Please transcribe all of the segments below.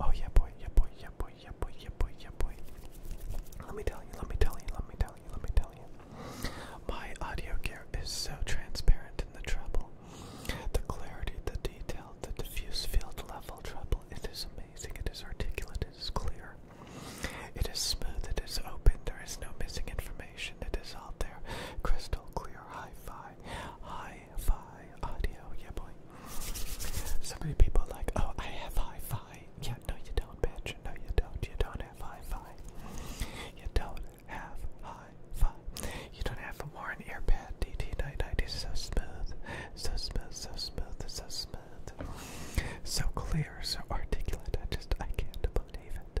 Oh yeah, boy, yeah, boy, yeah, boy, yeah, boy, yeah, boy, yeah, boy. Let me tell you, let me tell you, let me tell you, let me tell you. My audio gear is so transparent in the treble. The clarity, the detail, the diffuse field level treble. It is amazing. It is articulate. It is clear. It is smooth. It is open. There is no missing information. It is out there, crystal clear, high fi Hi fi audio, yeah boy. So many people are like, oh, I have hi fi. Yeah, no, you don't, bitch. No, you don't. You don't have hi fi. You don't have hi fi. You don't have a Warren Earpad DT990. So smooth, so smooth, so smooth, so smooth. So clear, so articulate. I just, I can't believe it.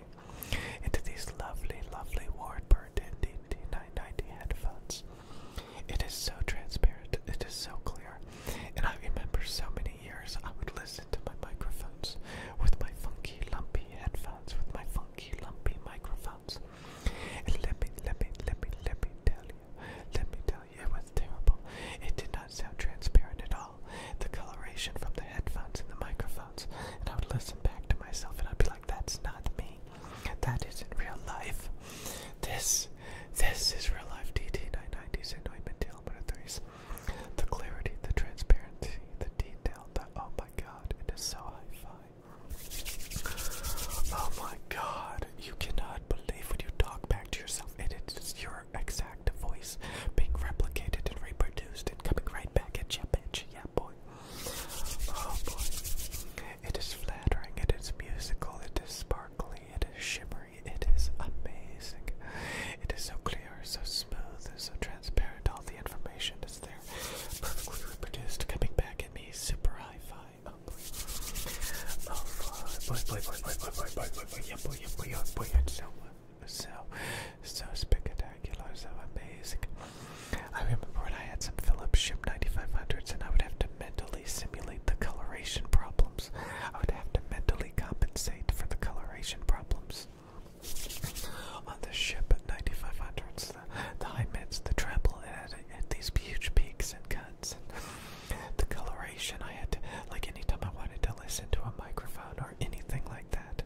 into these lovely, lovely Wardbird ND990 headphones. It is so transparent, it is so clear, and I remember so many years I would listen to my microphones with my funky, lumpy headphones, with my funky, lumpy microphones. And let me, let me, let me, let me tell you, let me tell you, it was terrible. It did not sound transparent at all tell the coloration from the headphones and the microphones. And I would listen back to myself and I'd be like, that's not me. That isn't real life. This, this is real life. DT990s and Neumann-Thiel-Threes. The clarity, the transparency, the detail, the, oh my god, it is so hi-fi. Oh my god, you cannot believe when you talk back to yourself. It is, you're exact voice being replicated and reproduced and coming right back at you, bitch. Yeah, boy. Oh, boy. It is flattering, it is musical, it is sparkly, it is shimmery, it is amazing. It is so clear, so smooth, so transparent. All the information is there, perfectly reproduced, coming back at me, super high fi. Oh, boy. Oh, boy, boy, boy, boy, boy, boy, boy, boy, boy, boy, boy, boy, boy, boy, boy, boy, so so spectacular, so amazing. I remember when I had some Philips Ship 9500s and I would have to mentally simulate the coloration problems. I would have to mentally compensate for the coloration problems. On the ship at 9500s, the, the high mids, the treble, it had, had these huge peaks and cuts the coloration I had to, like anytime I wanted to listen to a microphone or anything like that,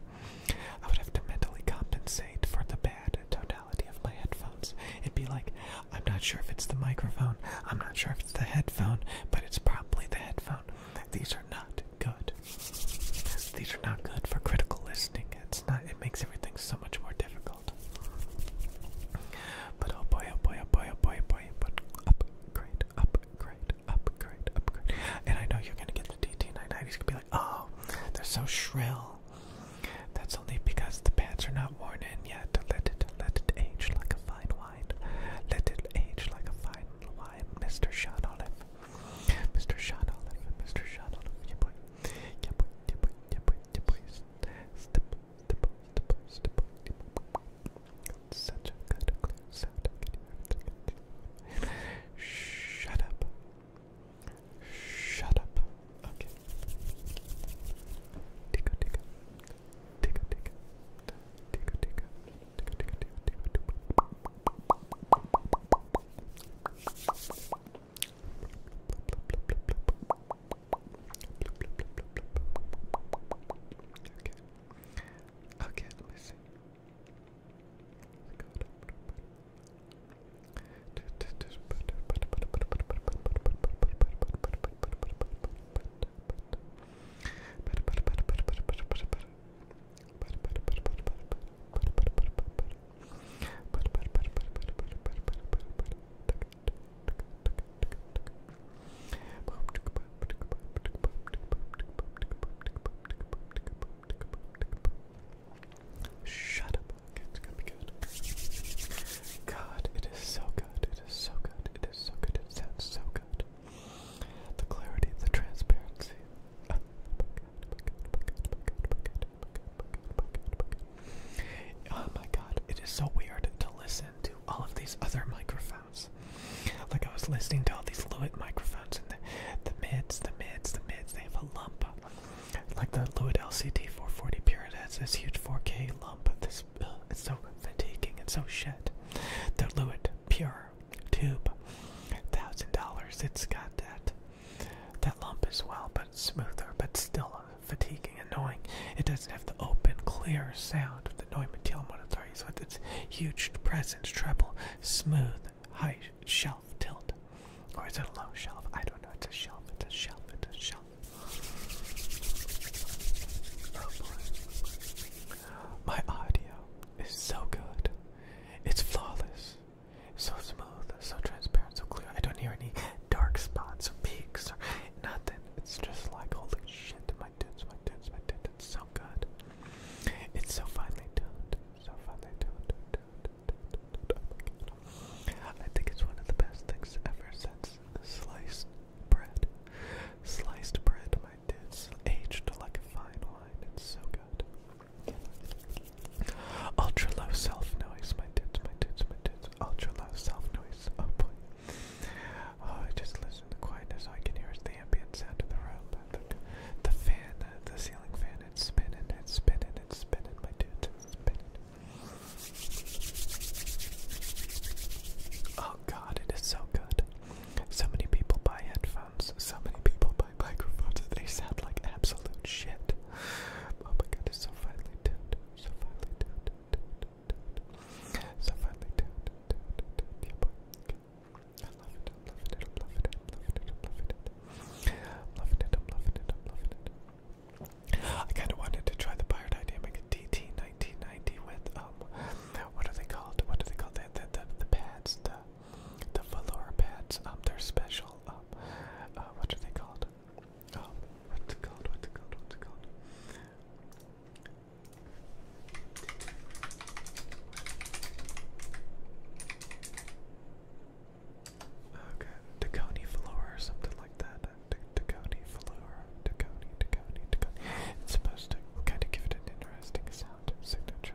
I would have to mentally compensate for the bad totality of my headphones. It'd be like, I'm not sure if it's the microphone, I'm not sure if it's the headphone, but it's probably the headphone. These are not good. These are not good for critical listening. It's not it makes everything so much more difficult. But oh boy, oh boy, oh boy, oh boy, boy, but oh upgrade, upgrade, upgrade, upgrade. And I know you're gonna get the DT990s. gonna be like, oh, they're so shrill. That's only because the pants are not worn in yet. Let it, let it age like a fine wine. Let it age like a fine wine, Mr. Sean Mr. Sean Mr. Sean Olive, boy. Yeah boy, yeah boy, yeah boy. Step, Shut up. Shut up. Okay. Okay. Okay, let me see. Shut up. it's gonna be good. God, it is so good. It is so good. It is so good. It sounds so good. The clarity, the transparency. Oh, Oh my god, it is so weird to listen to all of these other microphones. Like I was listening to all these Lewitt microphones and the, the mids, the mids, the mids, they have a lump. Like the Lewitt LCT 440 Pure, it has this huge 4K lump. This, it's so fatiguing, it's so shit. The Lewitt Pure Tube, $1,000, it's got that that lump is well, but smoother, but still fatiguing, annoying. It doesn't have the open, clear sound of the Neumann Telemann Authority, so with its huge presence, treble, smooth, high shelf tilt. Or is it a low shelf? I don't know. It's a shelf, it's a shelf, it's a shelf. Oh boy. My audio is so good. It's flawless. So smooth, so transparent, so clear. I don't hear any dark spots or peaks or nothing. It's just like, holy shit, my dudes, my dudes, my dudes. It's so good. It's so finely tuned. So finely tuned. tuned, tuned, tuned, tuned. Oh my God. I think it's one of the best things ever since sliced bread. Sliced bread, my dudes. Aged like a fine wine. It's so good. Ultra low self noise, my dudes, my dudes, my dudes. Ultra low self noise. Oh boy. Oh, I just listen to quietness. I can hear the ambient sound of the room. The, fan, the, the ceiling fan, it's spinning, it's spinning, it's spinning, my dudes, spinning. Oh god, it is so good. So many people buy headphones. So many people buy microphones they sound like absolute shit. Oh my god, so finely tuned. So finely tuned. So finely tuned. I love it. I love it. I love it. I love it. I love it. I love it. I love it. I love it. I kind of wanted to try the Biodynamic DT1990 with, um, what are they called? What are they called? The, the, the, the pads, the the velour pads. Um, they're special. Um, uh, what are they called? Um, what's it called? What's it called? What's it called? Okay, velour something like that. Tacony velour, Tacony, Tacony, Tacony. It's supposed to kind of give it an interesting sound signature.